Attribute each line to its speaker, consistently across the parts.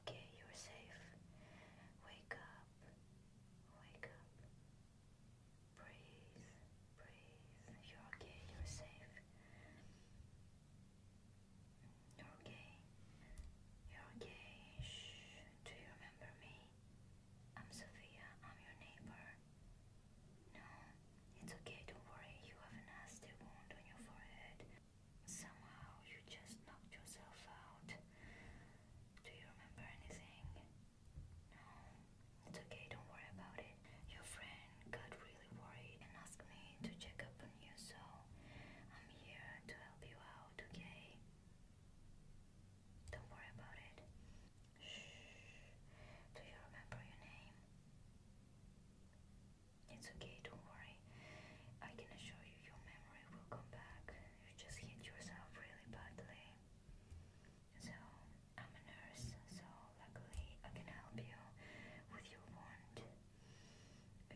Speaker 1: okay, you're safe. Wake up, wake up. Breathe, breathe. You're okay, you're safe. You're okay, you're okay. Shh. Do you remember me? I'm Sophia, I'm your neighbor. No, it's okay, don't worry. You have a nasty wound on your forehead. Somehow you just knocked yourself out. Do you remember anything? No. It's okay, don't worry about it. Your friend got really worried and asked me to check up on you, so I'm here to help you out, okay? Don't worry about it. Shh. Do you remember your name? It's okay, don't worry. I can assure you your memory will come back. You just hit yourself really badly. So, I'm a nurse, so luckily I can help you with your wound.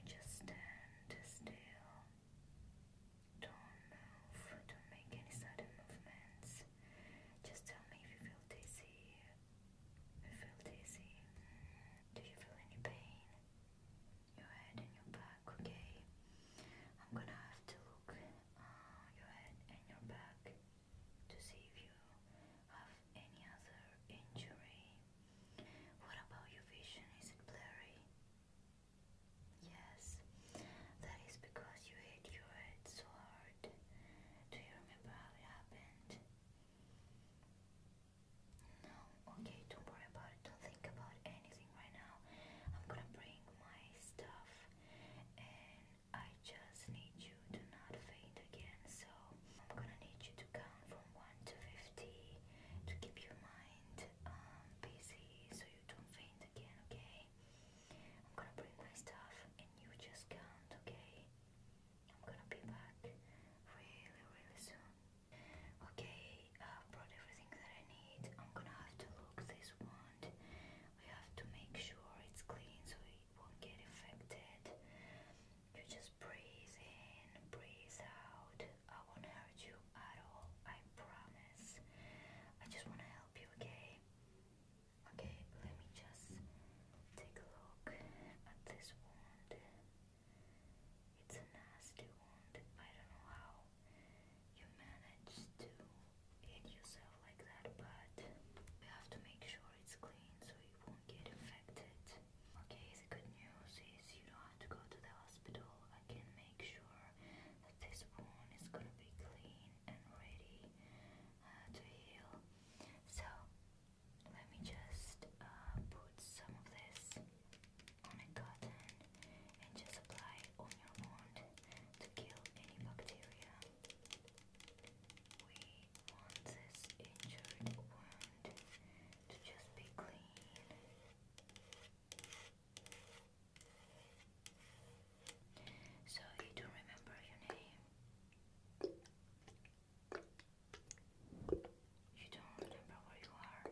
Speaker 1: just stand still. Don't move, don't make any sudden movements. Just tell me if you feel dizzy. You feel dizzy. Do you feel any pain? your head and your back, okay? I'm gonna have to look uh, your head and your back to see if you have any other injury. What about your vision? Is it blurry? Yes, that is because you hit your head so hard. Do you remember how it happened? No, okay, don't worry about it. Don't think about anything right now. I'm gonna bring my stuff and I just need you to not faint again. So I'm gonna need you to count from 1 to 50 to keep your mind um, busy so you don't faint again, okay? I'm gonna bring my stuff and you just count, okay? I'm gonna be back really, really soon. Okay, I've brought everything that I need. I'm gonna have to look this wand. We have to make sure it's clean so it won't get infected. You just breathe in, breathe out. I won't hurt you at all, I promise. I just wanna help you, okay? Okay, let me just take a look at this wand. It's a nasty wound. I don't know how you managed to hit yourself like that, but we have to make sure it's clean so you won't get infected. Okay, the good news is you don't have to go to the hospital. I can make sure that this wound is gonna be clean and ready uh, to heal. So, let me just uh, put some of this on a cotton and just apply on your wound to kill any bacteria. We want this injured wound to just be clean. So you do remember your name? You don't remember where you are.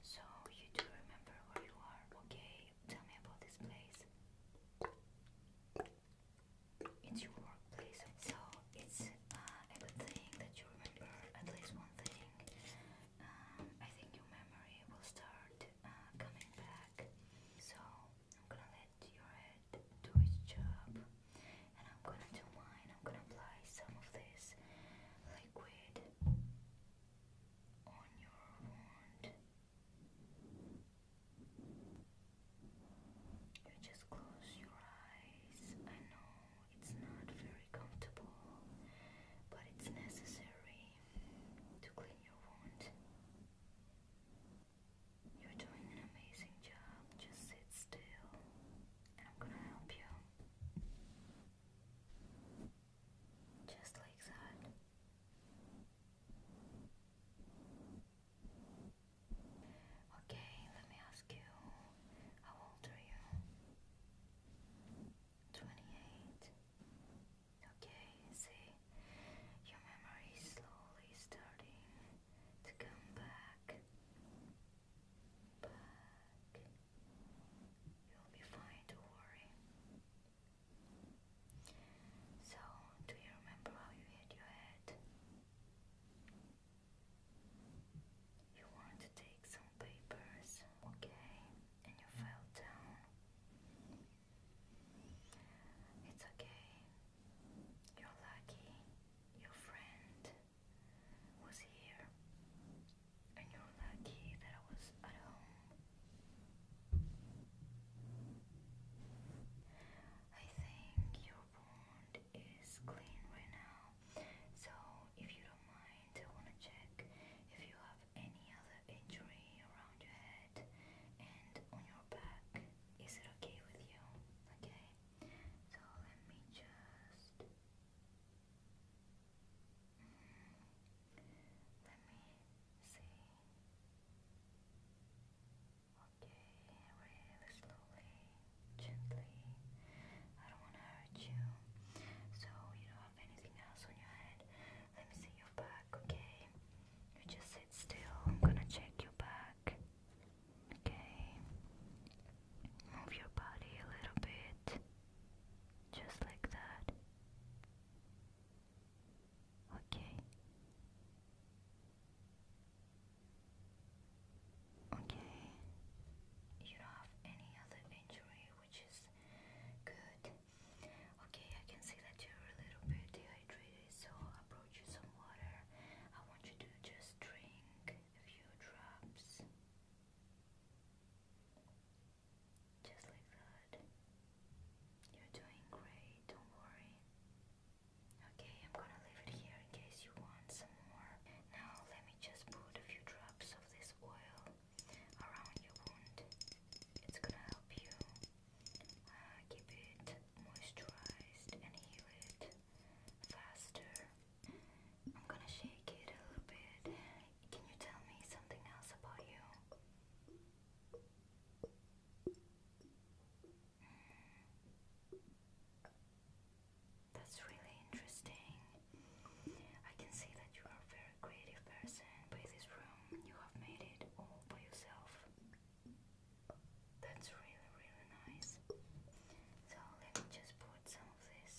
Speaker 1: So you do remember where you are. Okay, tell me about this place. It's your workplace. So it's uh, that you remember at least one thing. Um, I think your memory will start uh, coming back. So I'm gonna let your head do its job and I'm gonna do mine, I'm gonna apply some of this liquid on your wound. You just close your eyes. I know it's not very comfortable, but it's necessary to clean your wound. You're doing an amazing job. Just sit still, and I'm gonna help you. Just like that. Okay, let me ask you how old are you? 28. Okay, see, your memory is slowly starting to come back. Back. You'll be fine, don't worry. So, do you remember how you hit your head? You want to take some papers, okay? And you fell down. It's okay. You're lucky. Your friend was here and you lucky that I was at home. I think your wound is clean right now, so if you don't mind, I want to check if you have any other injury around your head and on your back. Is it okay with you? Okay, so let me just. Let me see. Okay, really slowly, gently. I don't want to hurt you. So, you don't have anything else on your head. Let me see your back, okay? You just sit still. I'm gonna check your back. Okay. Move your body a little bit. Just like that. Okay. Okay. You don't have any other injury, which is good. Okay, I can see that you're a little bit dehydrated, so I'll you some water. I want you to just drink a few drops. Just like that. You're doing great, don't worry. Okay, I'm gonna leave it here in case you want some more. Now, let me just put a few drops of this oil around your wound. It's gonna help you uh, keep it moisturized and heal it faster. I'm gonna shake it a little bit. Can you tell me something else about you? Hmm. That's really interesting. I can see that you are a very creative person by this room. You have made it all by yourself. That's really, really nice. So let me just put some of this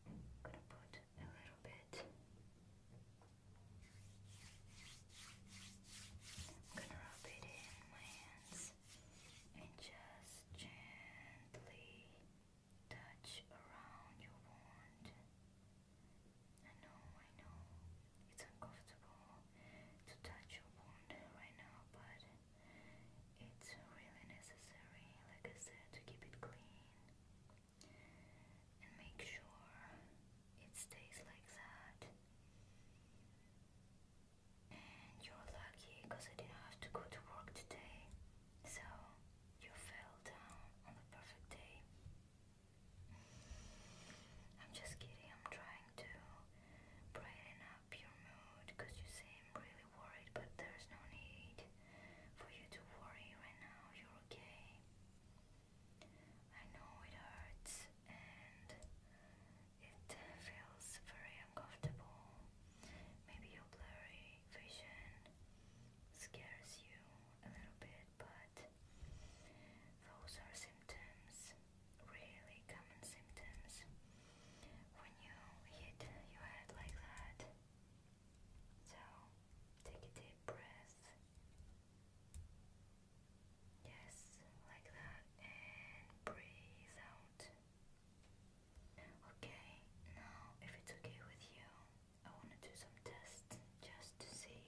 Speaker 1: gonna put a little bit. I'm gonna rub it in and just gently touch around your wound. I know, I know, it's uncomfortable to touch your wound right now, but it's really necessary, like I said, to keep it clean and make sure it stays like that. And you're lucky because I didn't have to go to work today, so you fell down on the perfect day. I'm just kidding, I'm trying to brighten up your mood because you seem really worried, but there's no need for you to worry right now. You're okay. I know it hurts and it feels very uncomfortable. Maybe your blurry vision scares you a little bit, but those are symptoms, really common symptoms. When you hit your head like that, so take a deep breath. Yes, like that, and breathe out. Okay, now if it's okay with you, I want to do some tests just to see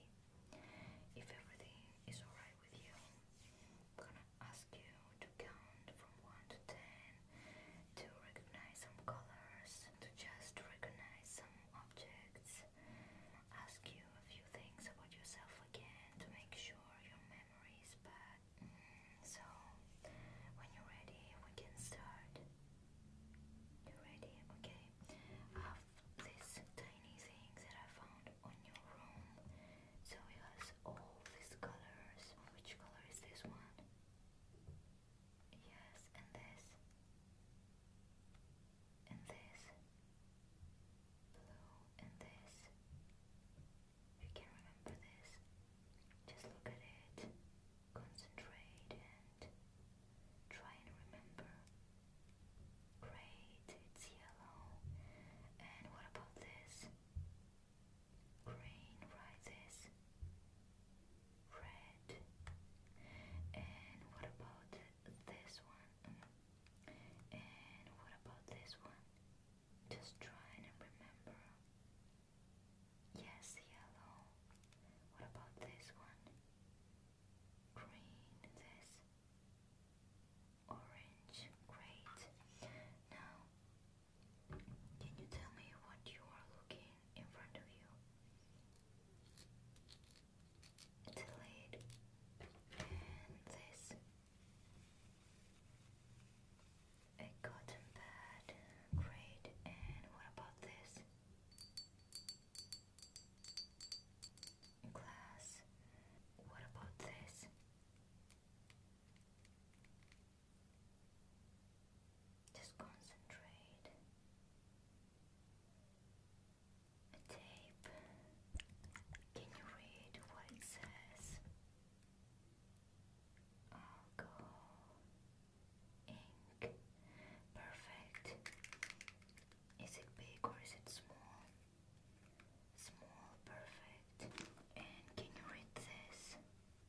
Speaker 1: if everything is alright with you. I'm gonna ask you to count from 1 to 10 to recognize some colors, to just recognize some objects, ask you a few things about yourself again to make sure your memory is back. Mm, so, when you're ready, we can start. You ready? Okay. I these tiny things that I found on your room. So it has all these colors. Which color is this one? Yes, and this. And this. Blue and this. You can remember this. Just look at it. Concentrate and try and remember. Great, it's yellow. And what about this? green rises red. And what about this one? And what about this one? Just try and remember. Yes, yellow. What about this one? Green, this. Orange, great. Now can you tell me what you are looking in front of you? It's this a cotton pad, great. And what about this? Glass. What about this? Just concentrate. A tape. Can you read what it says? Alcohol. Ink. Perfect. Is it big or is it small? Small, perfect. And can you read this?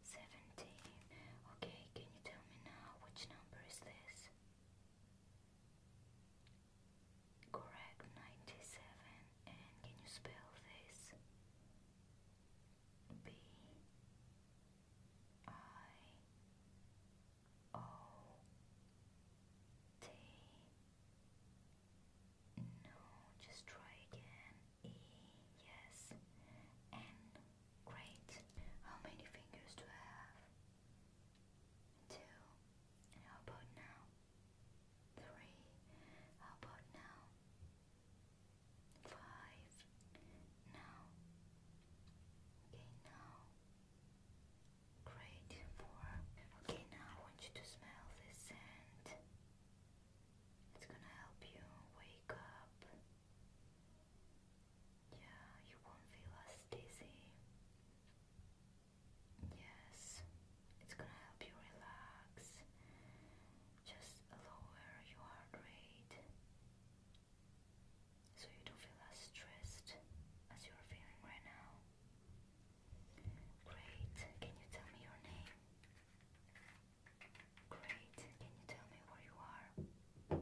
Speaker 1: Seventeen. Okay, can you tell me now which number is this? Correct, 97. And can you spell this? B I O T. No, just try again. E, yes. N Great. How many fingers do I have? Two. how about now? Three. How about now? Five. Now. Okay, now. Great. Four. Okay, now I want you to smell this scent. It's gonna help you wake up. Yeah, you won't feel as dizzy. Yes, it's gonna help you relax. Just lower your heart rate so you don't feel as stressed as you're feeling right now. Great, can you tell me your name? Great, can you tell me where you are?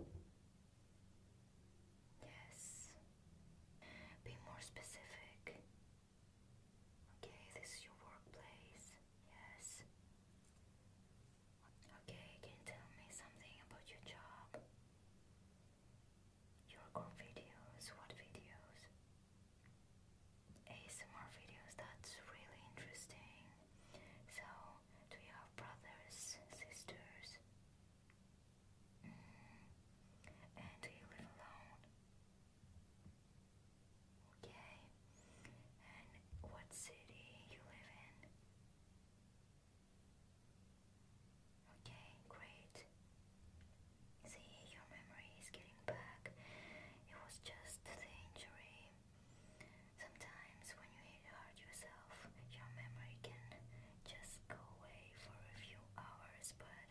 Speaker 1: Yes. Be more specific. Okay, this is your workplace. Yes. Okay, can you tell me something about your job? Your videos, what videos? ASMR videos, that's really interesting. So, to your brothers, sisters, mm, and do you live alone? Okay, and what city you live in? Okay, great. See, your memory is getting back. It was just the injury Sometimes when you hit yourself, your memory can just go away for a few hours, but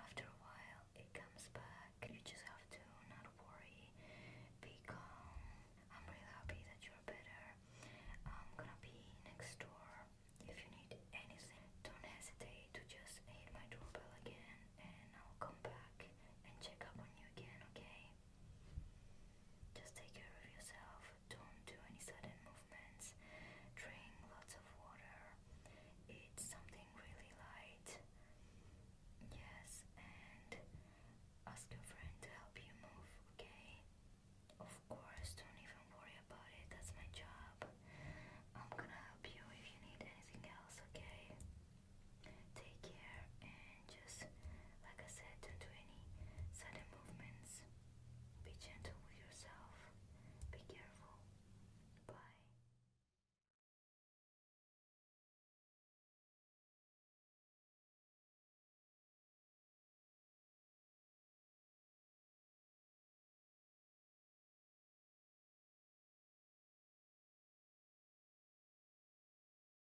Speaker 1: after a while it comes back. You just have to not worry, be calm. I'm really happy that you're better. I'm gonna be next door if you need anything. Don't hesitate to just hit my doorbell again and I'll come back and check up on you again, okay? Just take care of yourself, don't do any sudden movements, drink lots of water, eat something really light. Yes, and ask your friend to help you move, okay? Of course, don't even worry about it, that's my job. I'm gonna help you if you need anything else, okay? Take care just like I said, don't do any sudden movements. Be gentle with yourself. Be careful. Bye.